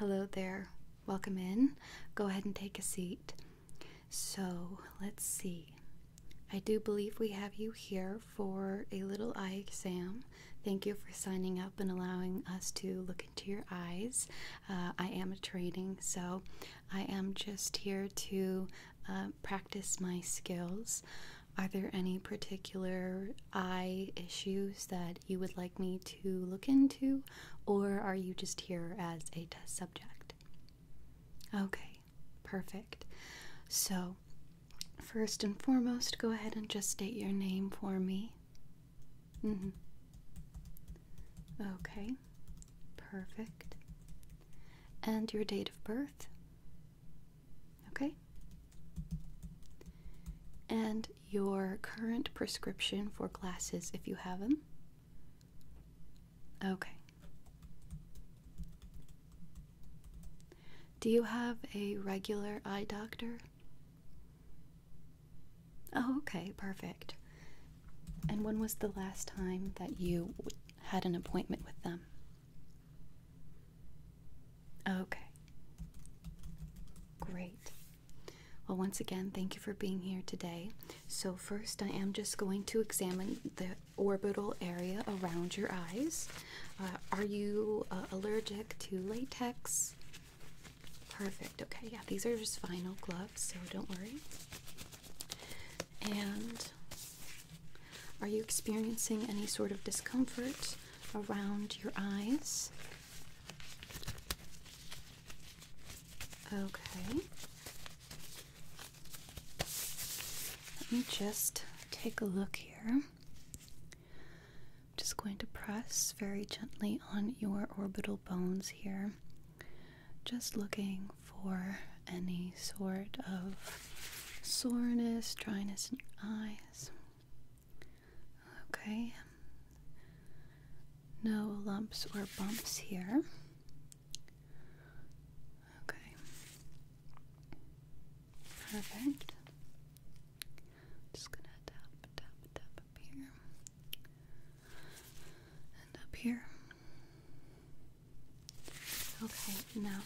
Hello there. Welcome in. Go ahead and take a seat. So, let's see. I do believe we have you here for a little eye exam. Thank you for signing up and allowing us to look into your eyes. Uh, I am a training, so I am just here to uh, practice my skills. Are there any particular eye issues that you would like me to look into? or are you just here as a test subject? Okay, perfect. So, first and foremost, go ahead and just state your name for me. Mm -hmm. Okay, perfect. And your date of birth? Okay. And your current prescription for glasses if you have them? Okay. Do you have a regular eye doctor? Oh, okay, perfect. And when was the last time that you had an appointment with them? Okay. Great. Well, once again, thank you for being here today. So, first, I am just going to examine the orbital area around your eyes. Uh, are you uh, allergic to latex? Perfect. Okay, yeah, these are just vinyl gloves, so don't worry. And are you experiencing any sort of discomfort around your eyes? Okay. Let me just take a look here. just going to press very gently on your orbital bones here. Just looking for any sort of soreness, dryness in your eyes. Okay. No lumps or bumps here. Okay. Perfect. Just gonna tap, tap, tap up here. And up here. Okay, now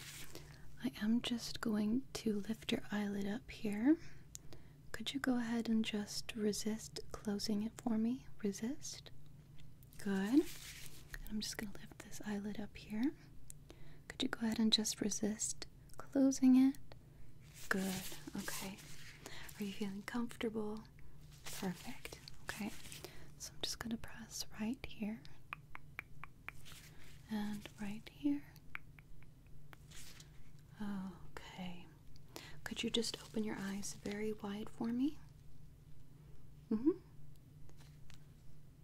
I am just going to lift your eyelid up here could you go ahead and just resist closing it for me? Resist. Good. I'm just going to lift this eyelid up here. Could you go ahead and just resist closing it? Good. Okay. Are you feeling comfortable? Perfect. Okay. So I'm just going to press right here and right here Okay. Could you just open your eyes very wide for me? hmm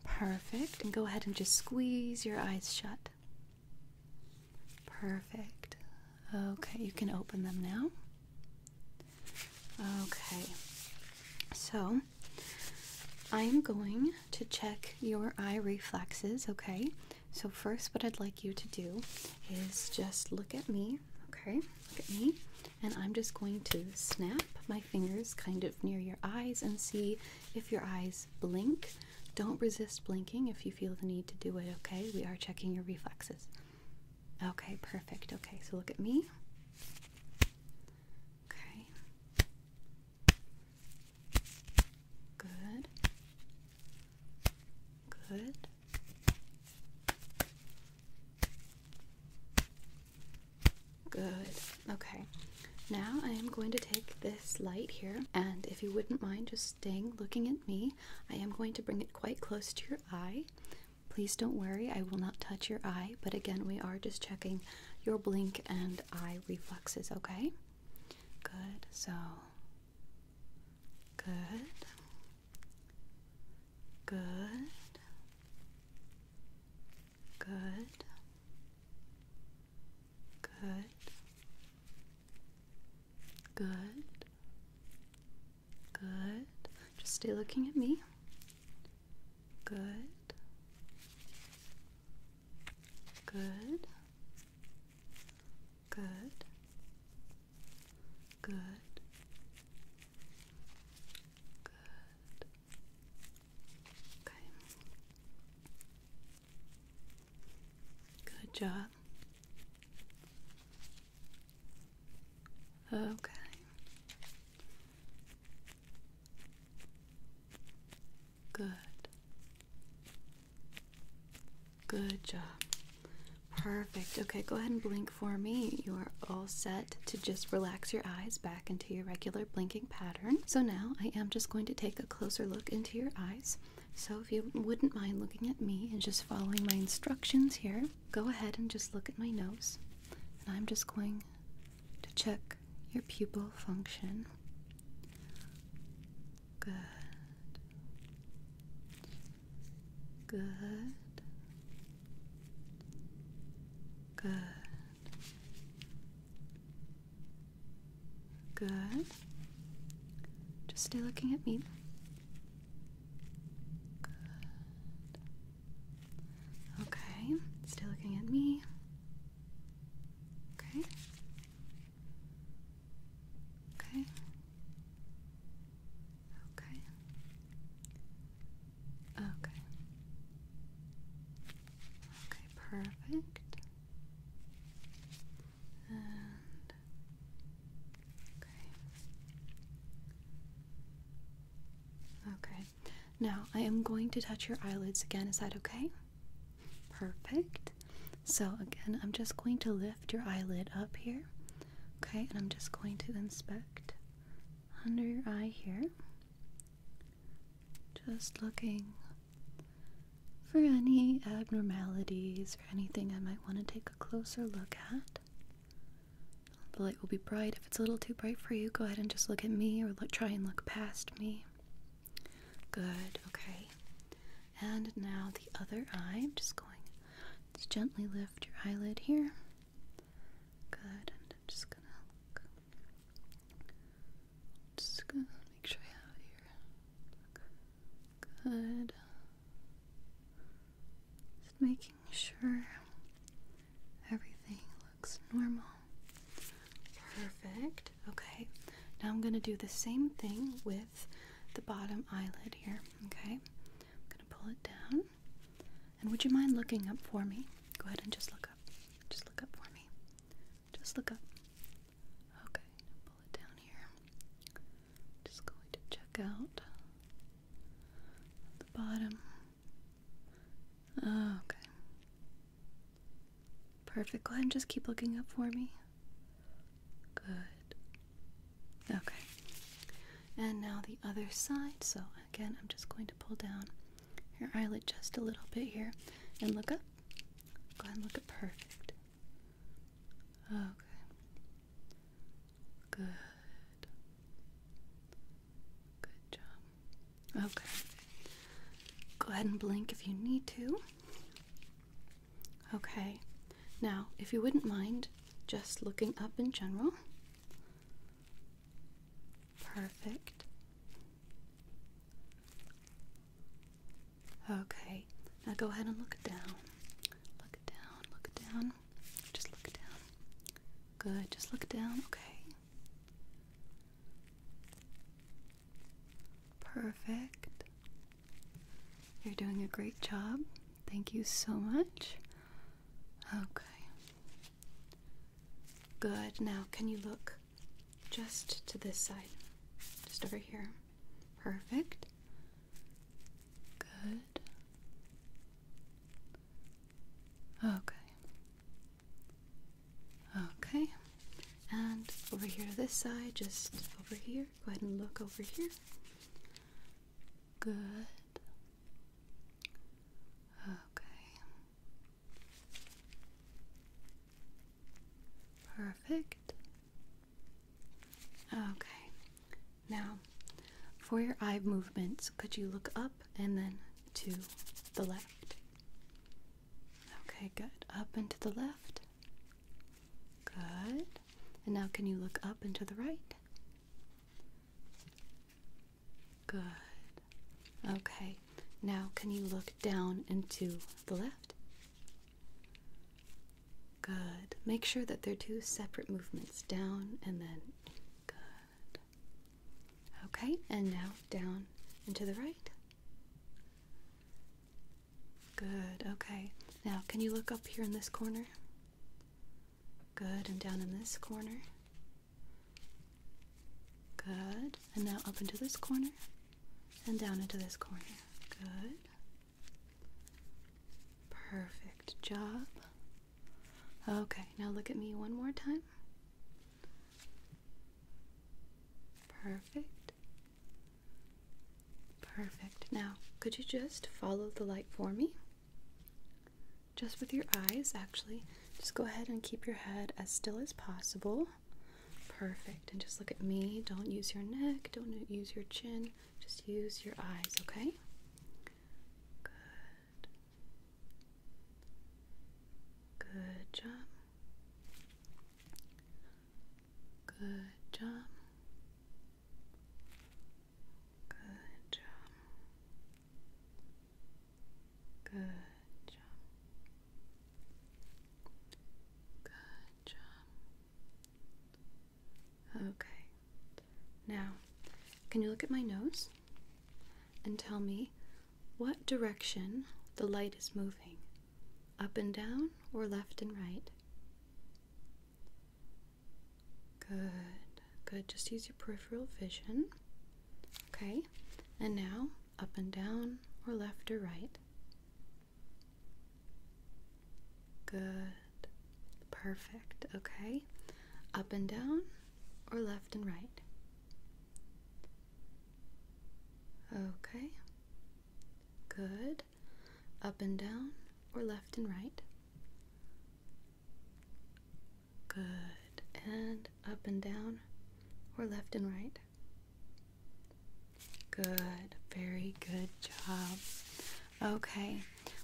Perfect. And go ahead and just squeeze your eyes shut. Perfect. Okay, you can open them now. Okay. So, I'm going to check your eye reflexes, okay? So, first, what I'd like you to do is just look at me, okay? Look at me, and I'm just going to snap my fingers kind of near your eyes and see if your eyes blink. Don't resist blinking if you feel the need to do it, okay? We are checking your reflexes. Okay, perfect. Okay, so look at me. Okay. Good. Good. Good. Okay. Now I am going to take this light here, and if you wouldn't mind just staying looking at me, I am going to bring it quite close to your eye. Please don't worry, I will not touch your eye, but again, we are just checking your blink and eye reflexes, okay? Good. So Good. Good. Good. Good. Good. Good. Just stay looking at me. Good. Good. Good. Good. Good. Okay. Good job. Okay. Good. Good job. Perfect. Okay, go ahead and blink for me. You are all set to just relax your eyes back into your regular blinking pattern. So now I am just going to take a closer look into your eyes. So if you wouldn't mind looking at me and just following my instructions here, go ahead and just look at my nose. And I'm just going to check your pupil function. Good. Good. Good. Good. Just stay looking at me. Okay. Still looking at me. Okay. Okay. Okay. Okay. Okay, perfect. And okay. Okay. Now I am going to touch your eyelids again. Is that okay? Perfect. So, again, I'm just going to lift your eyelid up here, okay, and I'm just going to inspect under your eye here. Just looking for any abnormalities or anything I might want to take a closer look at. The light will be bright. If it's a little too bright for you, go ahead and just look at me or look, try and look past me. Good, okay. And now the other eye. I'm just going to gently lift your eyelid here. Good. And I'm just gonna look. Just gonna make sure I have it here. Good. Just making sure everything looks normal. Perfect. Okay. Now I'm going to do the same thing with the bottom eyelid here. Okay, I'm gonna pull it down. And would you mind looking up for me? Go ahead and just look up. Just look up for me. Just look up. Okay, pull it down here. Just going to check out the bottom. Okay. Perfect. Go ahead and just keep looking up for me. Good. Okay. And now the other side. So again, I'm just going to pull down your eyelid just a little bit here and look up. Go ahead and look up. Perfect. Okay. Good. Good job. Okay. Go ahead and blink if you need to. Okay, now if you wouldn't mind just looking up in general. Perfect. Okay, now go ahead and look down. Look down, look down. Just look down. Good, just look down. Okay. Perfect. You're doing a great job. Thank you so much. Okay. Good. Now, can you look just to this side? Just over here. Perfect. Good. Okay. Okay. And over here to this side, just over here. Go ahead and look over here. Good. Okay. Perfect. Okay. Now, for your eye movements, could you look up and then to the left? Okay, good. Up and to the left. Good. And now can you look up and to the right? Good. Okay. Now can you look down and to the left? Good. Make sure that they're two separate movements, down and then good. Okay, and now down and to the right. Good. Okay. Now, can you look up here in this corner? Good, and down in this corner. Good, and now up into this corner and down into this corner. Good. Perfect job. Okay, now look at me one more time. Perfect. Perfect. Now, could you just follow the light for me? Just with your eyes, actually. Just go ahead and keep your head as still as possible. Perfect. And just look at me. Don't use your neck. Don't use your chin. Just use your eyes, okay? Good. Good job. Good job. Good job. Good job. Good job. Okay. Now, can you look at my nose and tell me what direction the light is moving? Up and down or left and right? Good, good. Just use your peripheral vision. Okay, and now up and down or left or right. Good, perfect. Okay, up and down or left and right. Okay, good up and down, or left and right? Good. And up and down, or left and right? Good. Very good job. Okay.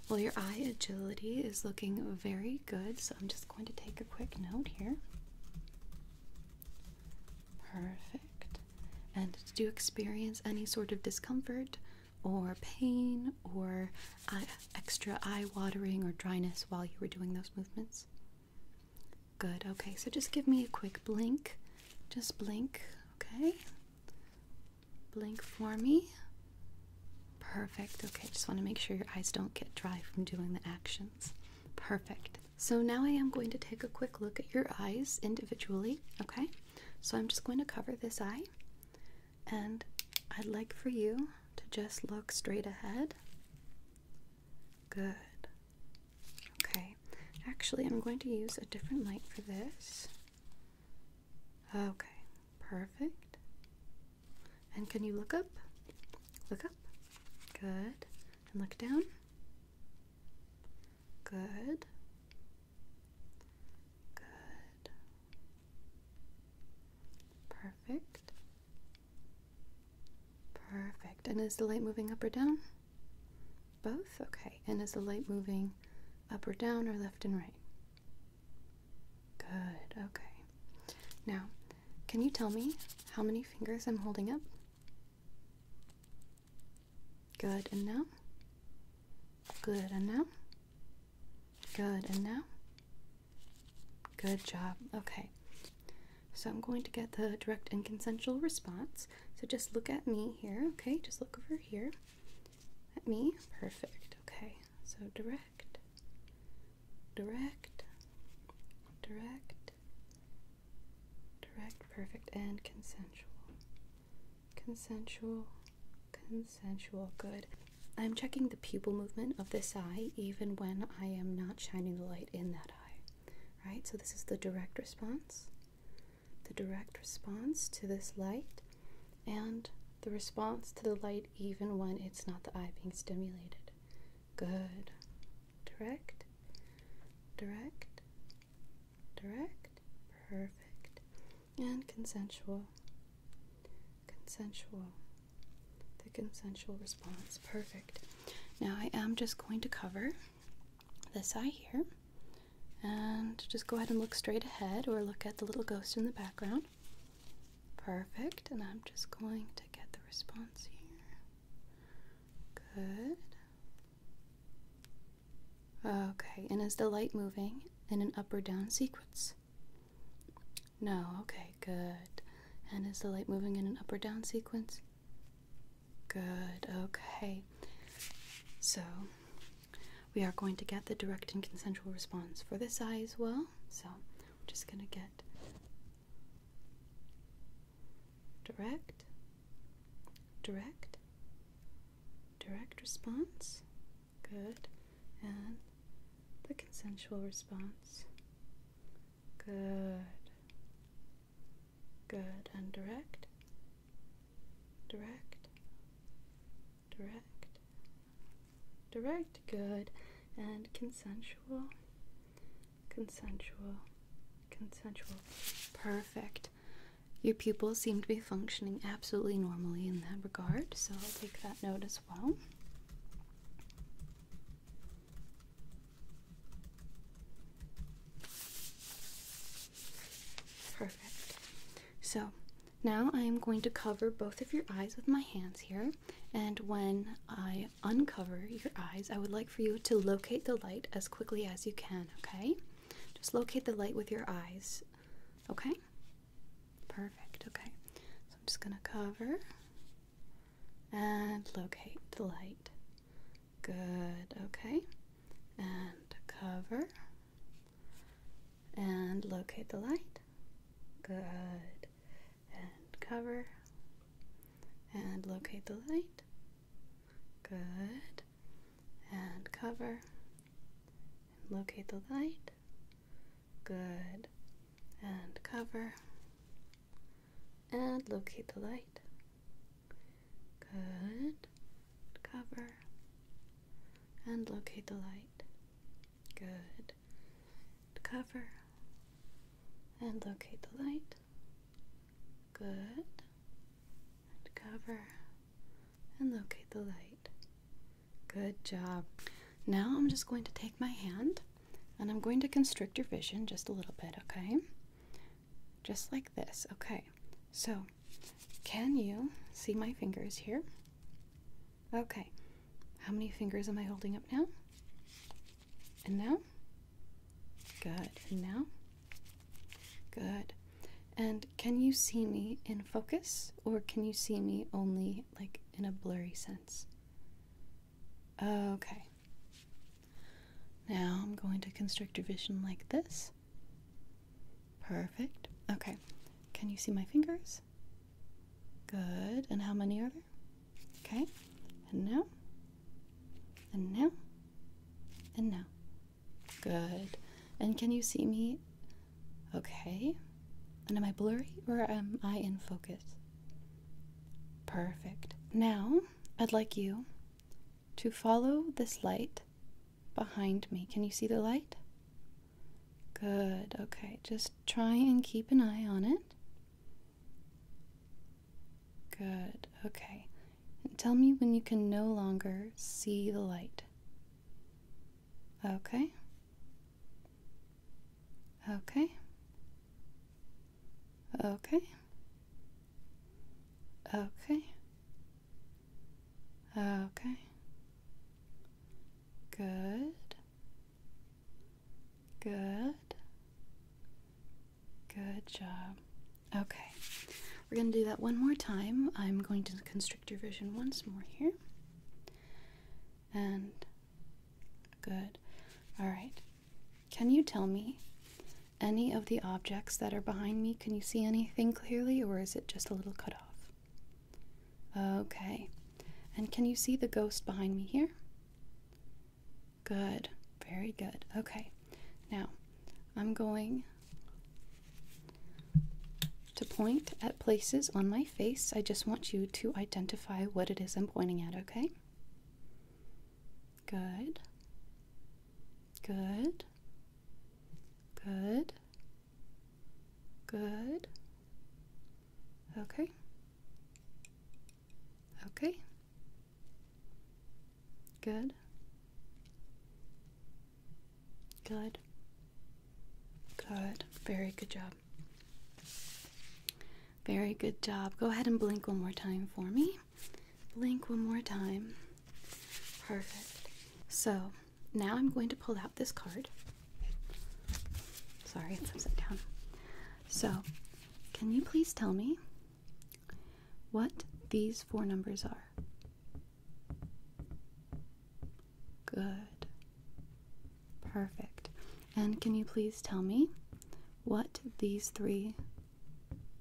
Well, your eye agility is looking very good, so I'm just going to take a quick note here. Perfect. And do you experience any sort of discomfort or pain or uh, extra eye watering or dryness while you were doing those movements? Good. Okay, so just give me a quick blink. Just blink, okay? Blink for me. Perfect. Okay, just want to make sure your eyes don't get dry from doing the actions. Perfect. So now I am going to take a quick look at your eyes individually, okay? So I'm just going to cover this eye and I'd like for you to just look straight ahead. Good. Okay. Actually, I'm going to use a different light for this. Okay. Perfect. And can you look up? Look up. Good. And look down. Good. Good. Perfect. Perfect. And is the light moving up or down? Both? Okay. And is the light moving up or down or left and right? Good. Okay. Now, can you tell me how many fingers I'm holding up? Good. And now? Good. And now? Good, and now? Good job. Okay. So I'm going to get the direct and consensual response. So just look at me here, okay? Just look over here at me. Perfect, okay. So direct, direct, direct, direct, perfect, and consensual. Consensual, Consensual, good. I'm checking the pupil movement of this eye even when I am not shining the light in that eye. Right? So, this is the direct response, the direct response to this light, and the response to the light even when it's not the eye being stimulated. Good. Direct, direct, direct. Perfect and consensual. Consensual. The consensual response. Perfect. Now I am just going to cover this eye here and just go ahead and look straight ahead or look at the little ghost in the background. Perfect. And I'm just going to get the response here. Good. Okay, and is the light moving in an up or down sequence? No, okay, good. And is the light moving in an up or down sequence? Good, okay. So, we are going to get the direct and consensual response for this eye as well. So, I'm just going to get direct, direct, direct response. Good. And the consensual response. Good. Good. And direct. Direct. Direct. Direct. Good. And consensual. Consensual. Consensual. Perfect. Your pupils seem to be functioning absolutely normally in that regard, so I'll take that note as well. Perfect. So now I am going to cover both of your eyes with my hands here, and when I uncover your eyes, I would like for you to locate the light as quickly as you can, okay? Just locate the light with your eyes, okay? Perfect, okay. So I'm just gonna cover and locate the light. Good, okay. And cover and locate the light. Good. And cover and locate the light. Good. And cover and locate the light. Good. And cover. And locate the light. Good. Cover. And locate the light. Good. Cover. And locate the light. Good. cover. And locate the light. Good job. Now I'm just going to take my hand and I'm going to constrict your vision just a little bit, okay? Just like this. Okay. So, can you see my fingers here? Okay. How many fingers am I holding up now? And now? Good. And now? Good. And can you see me in focus or can you see me only like in a blurry sense? Okay. Now I'm going to constrict your vision like this. Perfect. Okay. Can you see my fingers? Good. And how many are there? Okay. And now. And now. And now. Good. And can you see me Okay. And am I blurry or am I in focus? Perfect. Now, I'd like you to follow this light behind me. Can you see the light? Good. Okay. Just try and keep an eye on it. Good. Okay. And tell me when you can no longer see the light. Okay. Okay. Okay. Okay. Okay. Good. Good. Good job. Okay. We're going to do that one more time. I'm going to constrict your vision once more here and good. All right. Can you tell me any of the objects that are behind me? Can you see anything clearly, or is it just a little cut off? Okay. And can you see the ghost behind me here? Good. Very good. Okay. Now, I'm going to point at places on my face, I just want you to identify what it is I'm pointing at, okay? Good. Good. Good. Good. Okay. Okay. Good. Good. Good. Very good job. Very good job. Go ahead and blink one more time for me. Blink one more time. Perfect. So now I'm going to pull out this card. Sorry, it's upside down. So, can you please tell me what these four numbers are? Good. Perfect. And can you please tell me what these three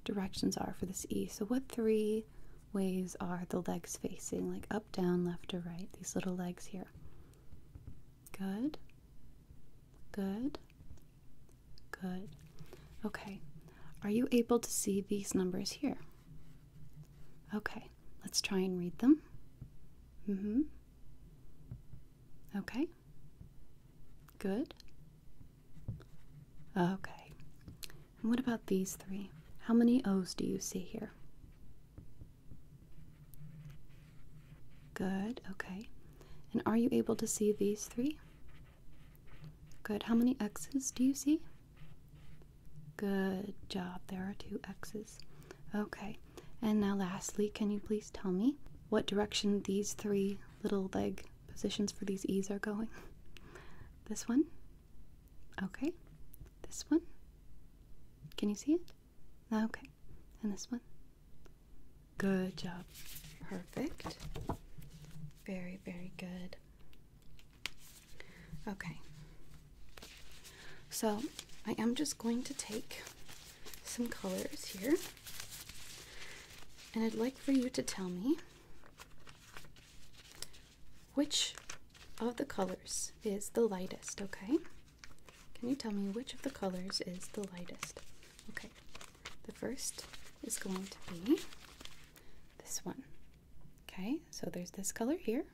directions are for this E? So, what three ways are the legs facing? Like up, down, left, or right? These little legs here. Good. Good. Good. Okay. Are you able to see these numbers here? Okay let's try and read them. Mm hmm. Okay. Good. Okay. And what about these three? How many O's do you see here? Good. Okay. And are you able to see these three? Good. How many X's do you see? Good job. There are two X's. Okay. And now, lastly, can you please tell me what direction these three little leg positions for these E's are going? This one? Okay. This one? Can you see it? Okay. And this one? Good job. Perfect. Very, very good. Okay. So I am just going to take some colors here. And I'd like for you to tell me which of the colors is the lightest, okay? Can you tell me which of the colors is the lightest? Okay, the first is going to be this one. Okay, so there's this color here,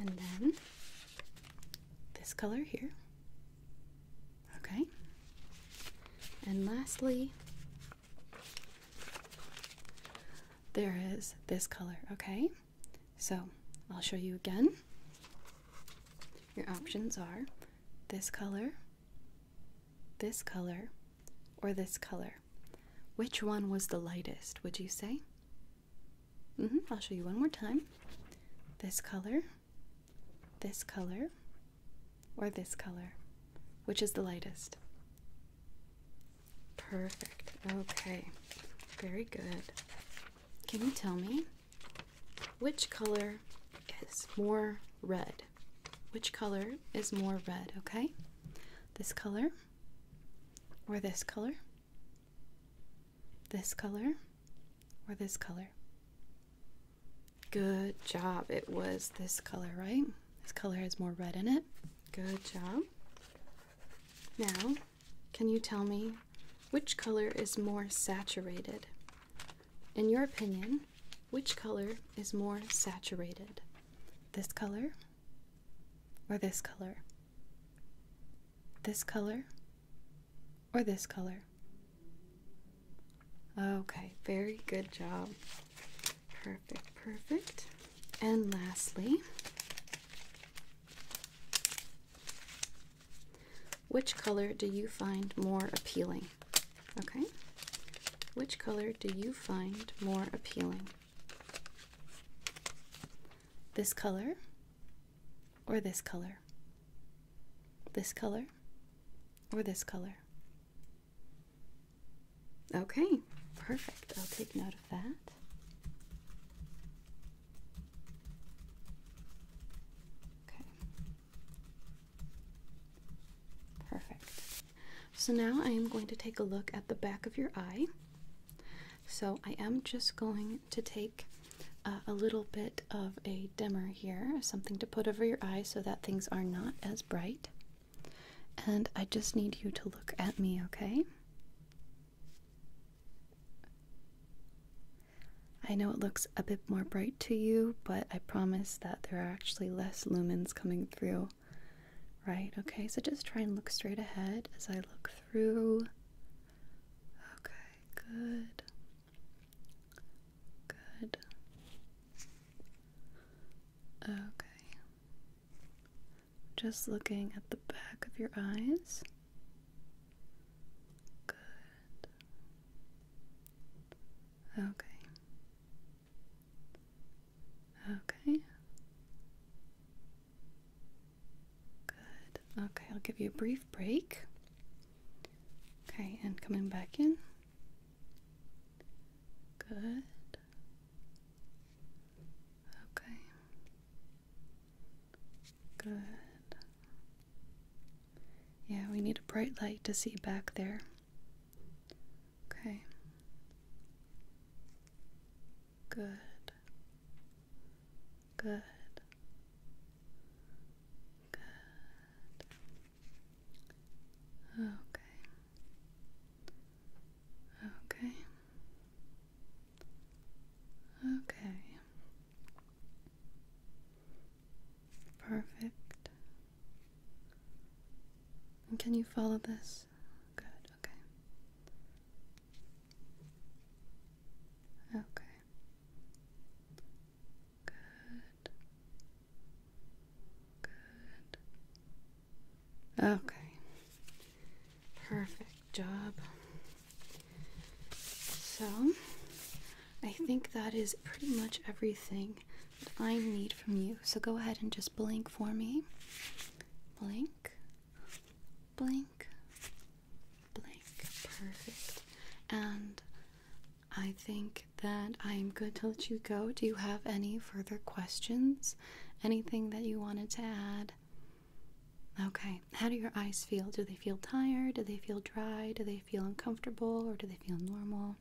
and then this color here. Okay, and lastly, there is this color. Okay, so I'll show you again. Your options are this color, this color, or this color. Which one was the lightest, would you say? Mm-hmm, I'll show you one more time. This color, this color, or this color. Which is the lightest? Perfect. Okay. Very good. Can you tell me which color is more red? Which color is more red? Okay. This color, or this color, this color, or this color. Good job. It was this color, right? This color has more red in it. Good job. Now, can you tell me which color is more saturated? In your opinion, which color is more saturated? This color or this color? This color or this color? Okay, very good job. Perfect, perfect. And lastly, which color do you find more appealing? Okay, which color do you find more appealing? This color or this color? This color or this color? Okay, perfect. I'll take note of that. Okay. Perfect. So now I am going to take a look at the back of your eye. So I am just going to take uh, a little bit of a dimmer here, something to put over your eyes so that things are not as bright. And I just need you to look at me, okay? I know it looks a bit more bright to you, but I promise that there are actually less lumens coming through Right, okay, so just try and look straight ahead as I look through. Okay, good. Good. Okay. Just looking at the back of your eyes. Good. Okay. Okay. Good. Okay, I'll give you a brief break. Okay, and coming back in. Good. Okay. Good. Yeah, we need a bright light to see back there. Okay. Good. Good. Good. Okay. Okay. Okay. Perfect. And can you follow this Good. Okay. Okay. Good. Good. Okay. Perfect job. So, I think that is pretty much everything that I need from you. So, go ahead and just blink for me. Blink. Blank, blink, perfect. And I think that I am good to let you go. Do you have any further questions? Anything that you wanted to add? Okay, how do your eyes feel? Do they feel tired? Do they feel dry? Do they feel uncomfortable? Or do they feel normal?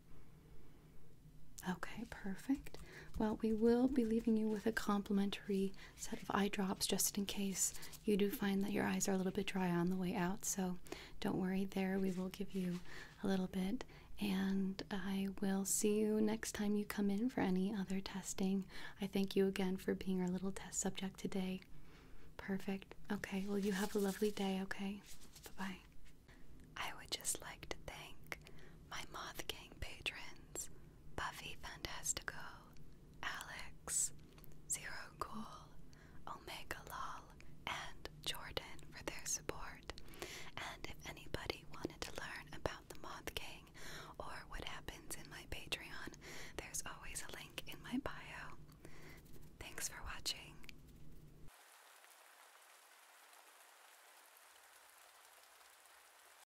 Okay, perfect. Well, we will be leaving you with a complimentary set of eye drops just in case you do find that your eyes are a little bit dry on the way out. So don't worry there, we will give you a little bit. And I will see you next time you come in for any other testing. I thank you again for being our little test subject today. Perfect. Okay, well, you have a lovely day, okay? Bye bye. I would just like to thank my Moth Gang patrons Buffy Fantastico, Alex, Zero Cool, Omega Lal, and Jordan for their support. And if anybody wanted to learn about the Moth King or what happens in my Patreon, there's always a link in my bio. Thanks for watching.